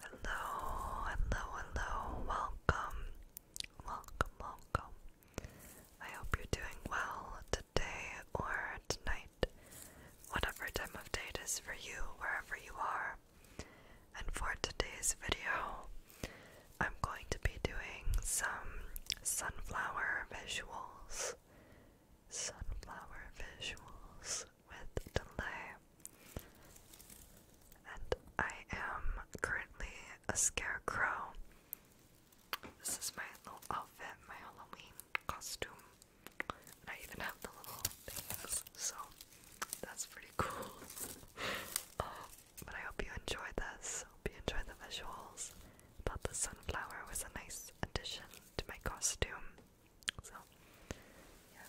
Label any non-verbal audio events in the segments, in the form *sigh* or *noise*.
Hello, hello, hello, welcome, welcome, welcome. I hope you're doing well today or tonight, whatever time of day is for you, wherever you are. And for today's video, I'm going going to be doing some sunflower visuals. Sunflower visuals with delay. And I am currently a scarecrow. This is my little outfit, my Halloween costume. I even have the little things, so that's pretty cool. *laughs* but I hope you enjoy this. Hope you enjoy the visuals thought the sunflower was a nice addition to my costume. So, yeah.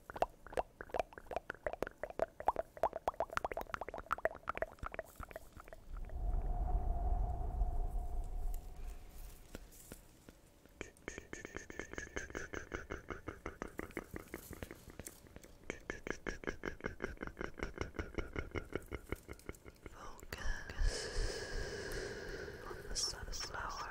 Focus on the sunflower.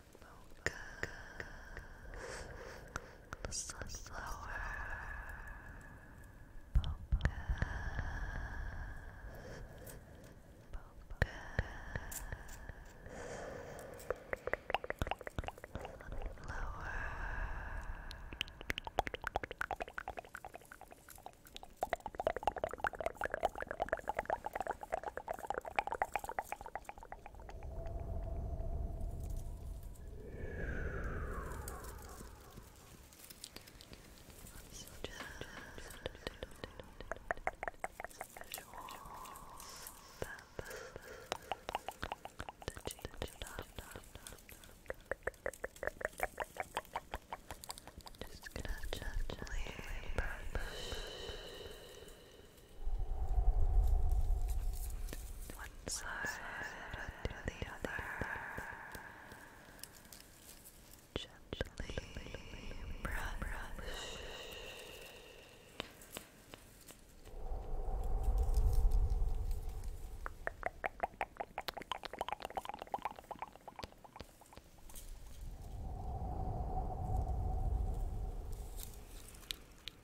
Focus slower. Focus. Focus. Lower. Lower just gonna gently brush one side to the other. Gently brush.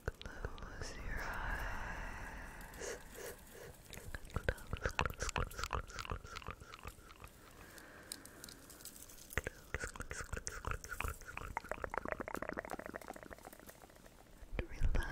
Close your eyes. Close, close, close, close, close, close, close. Close, close, close, close, close, close. And relax.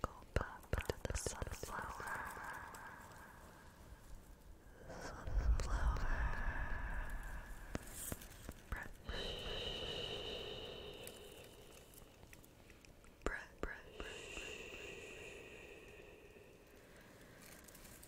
Go back to the sunflower. Sunflower. Brush. Brush. Brush. Brush.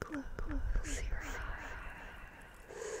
Close, Close your eyes. Close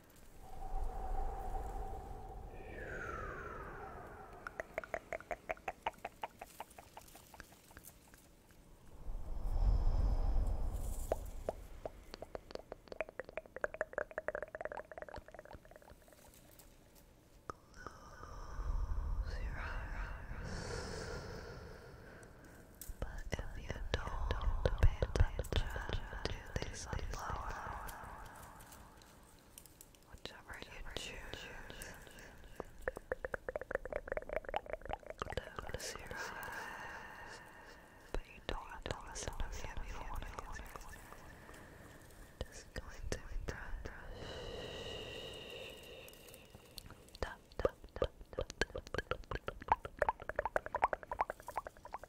Close your eyes. But if you don't pay attention to these flowers, Whichever you choose, but you don't have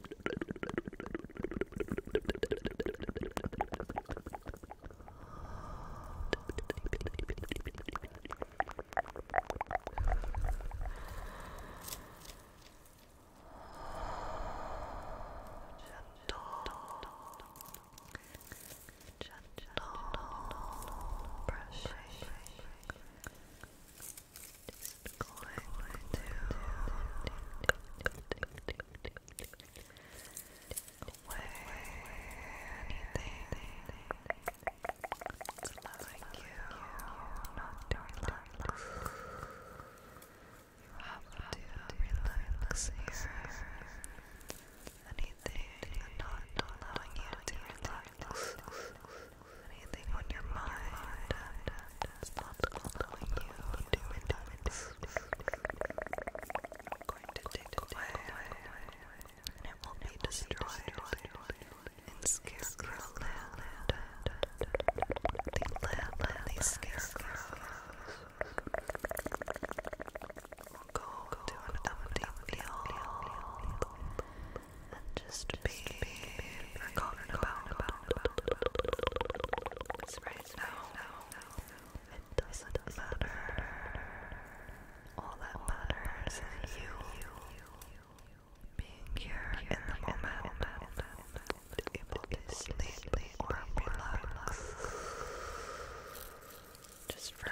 Gentle brushing. Just going to weigh anything that's allowing you not to relax. You have to relax here. Anything not allowing you to relax. Anything on your mind stopped following you two minutes. I'm going to take away, and it will be destroyed Scarecrow Land. The land of go to an empty and just be it's right now. It doesn't matter. All that matters is you being here in the moment, able to sleep or relax. Just Just for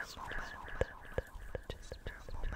a moment.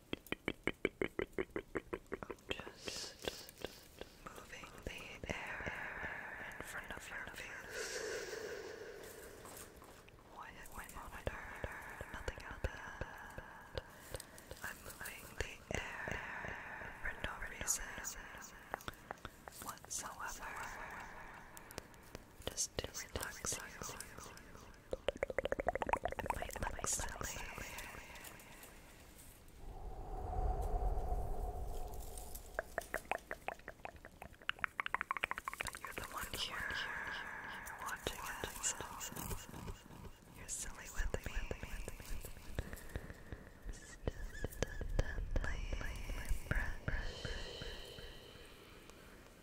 just moving the air in front of your face. monitor, nothing out I'm moving the air for no reason whatsoever. Just to relax you. Might let myself But you're the one here, you're watching us. You're silly with me. Just a lightly brush.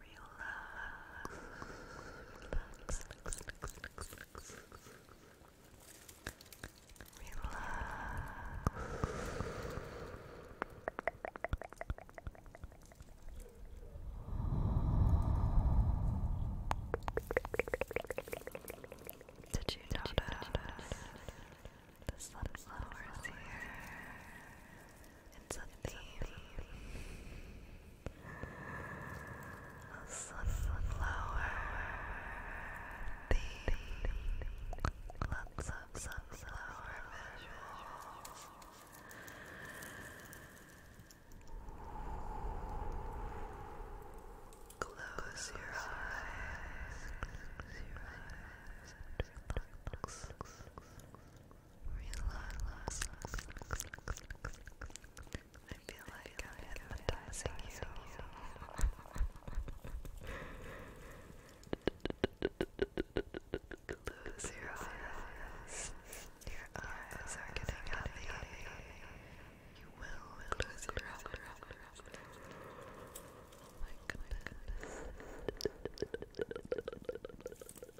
relax, relax, Did you notice the sunflowers here? It's a theme. A sunflower theme. Lots of sunflower visuals. Close Close your eyes relax. I feel like I'm hypnotizing you. Close your eyes. Your eyes are getting heavy. You will lose your eyes. Oh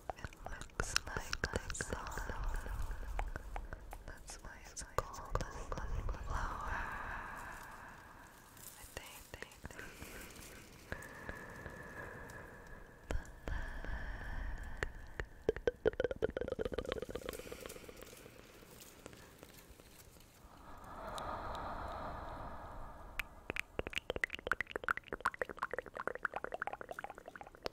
It looks like the song. it's called a flower. I think.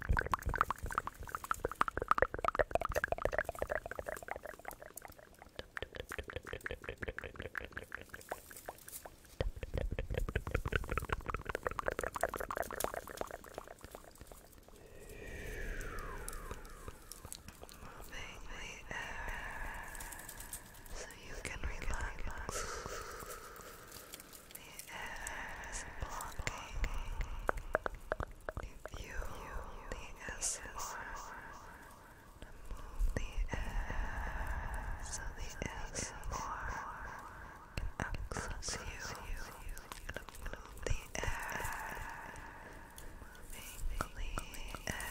Moving the air so you can relax. The air is blocking the view, the SR. Move the air so the SR can access you. Move the air, moving the air.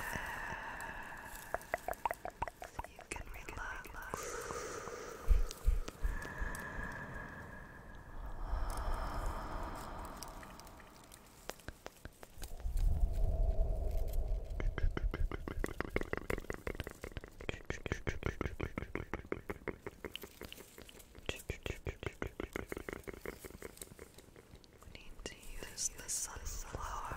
See you need to use the sunflower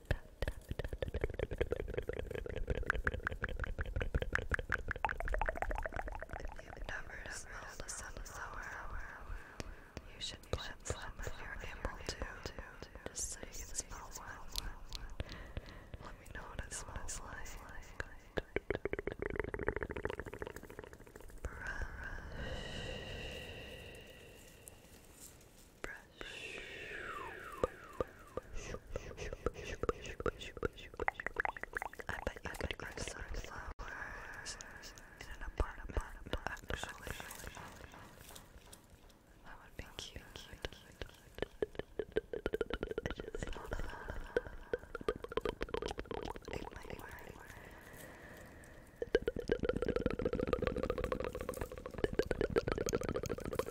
you've never smelled a sunflower, you should plant some if you're able to, just so you can smell one. Let me know what it smells like. Brush. I bet you could grow sunflowers in an apartment, actually. That would be cute. cute, cute, cute. I just love that. It might work.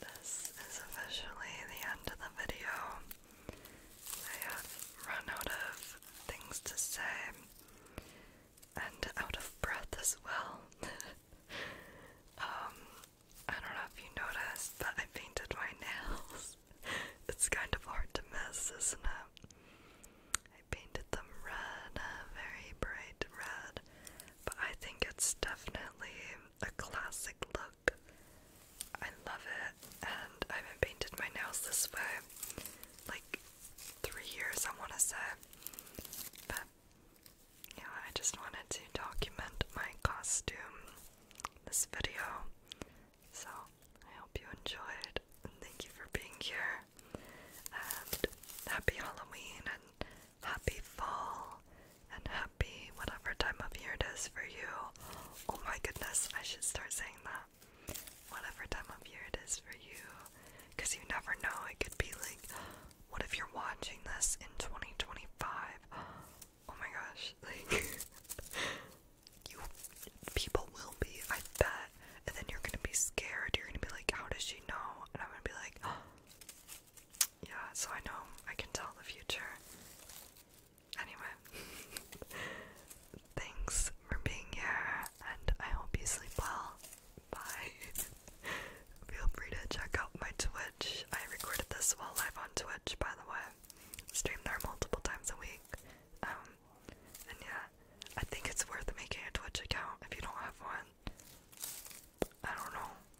This is officially the end of the video. I have run out of things to say and out of breath as well. *laughs* um, I don't know if you noticed, but I painted my nails. *laughs* it's kind of hard to miss, isn't it? I painted them red, uh, very bright red, but I think it's definitely a classic look. I love it, and I haven't painted my nails this way like three years, I want to say. But yeah, I just wanted to document my costume this video. So I hope you enjoyed, and thank you for being here. And happy Halloween, and happy fall and happy whatever time of year it is for you. Oh my goodness, I should start saying that. Whatever time of year it is for you. Because you never know, it could be like, what if you're watching this in 2025? Oh my gosh, *laughs* like, you people will be, I bet. And then you're gonna be scared. You're gonna be like, how does she know? And I'm gonna be like, yeah, so I know I can tell the future. Anyway, *laughs* thanks for being here, and I hope you sleep well. Bye. *laughs* Feel free to check out my Twitch. I recorded this while live on Twitch, by the way. Stream there multiple times a week. Um, and yeah, I think it's worth making a Twitch account if you don't have one. I don't know.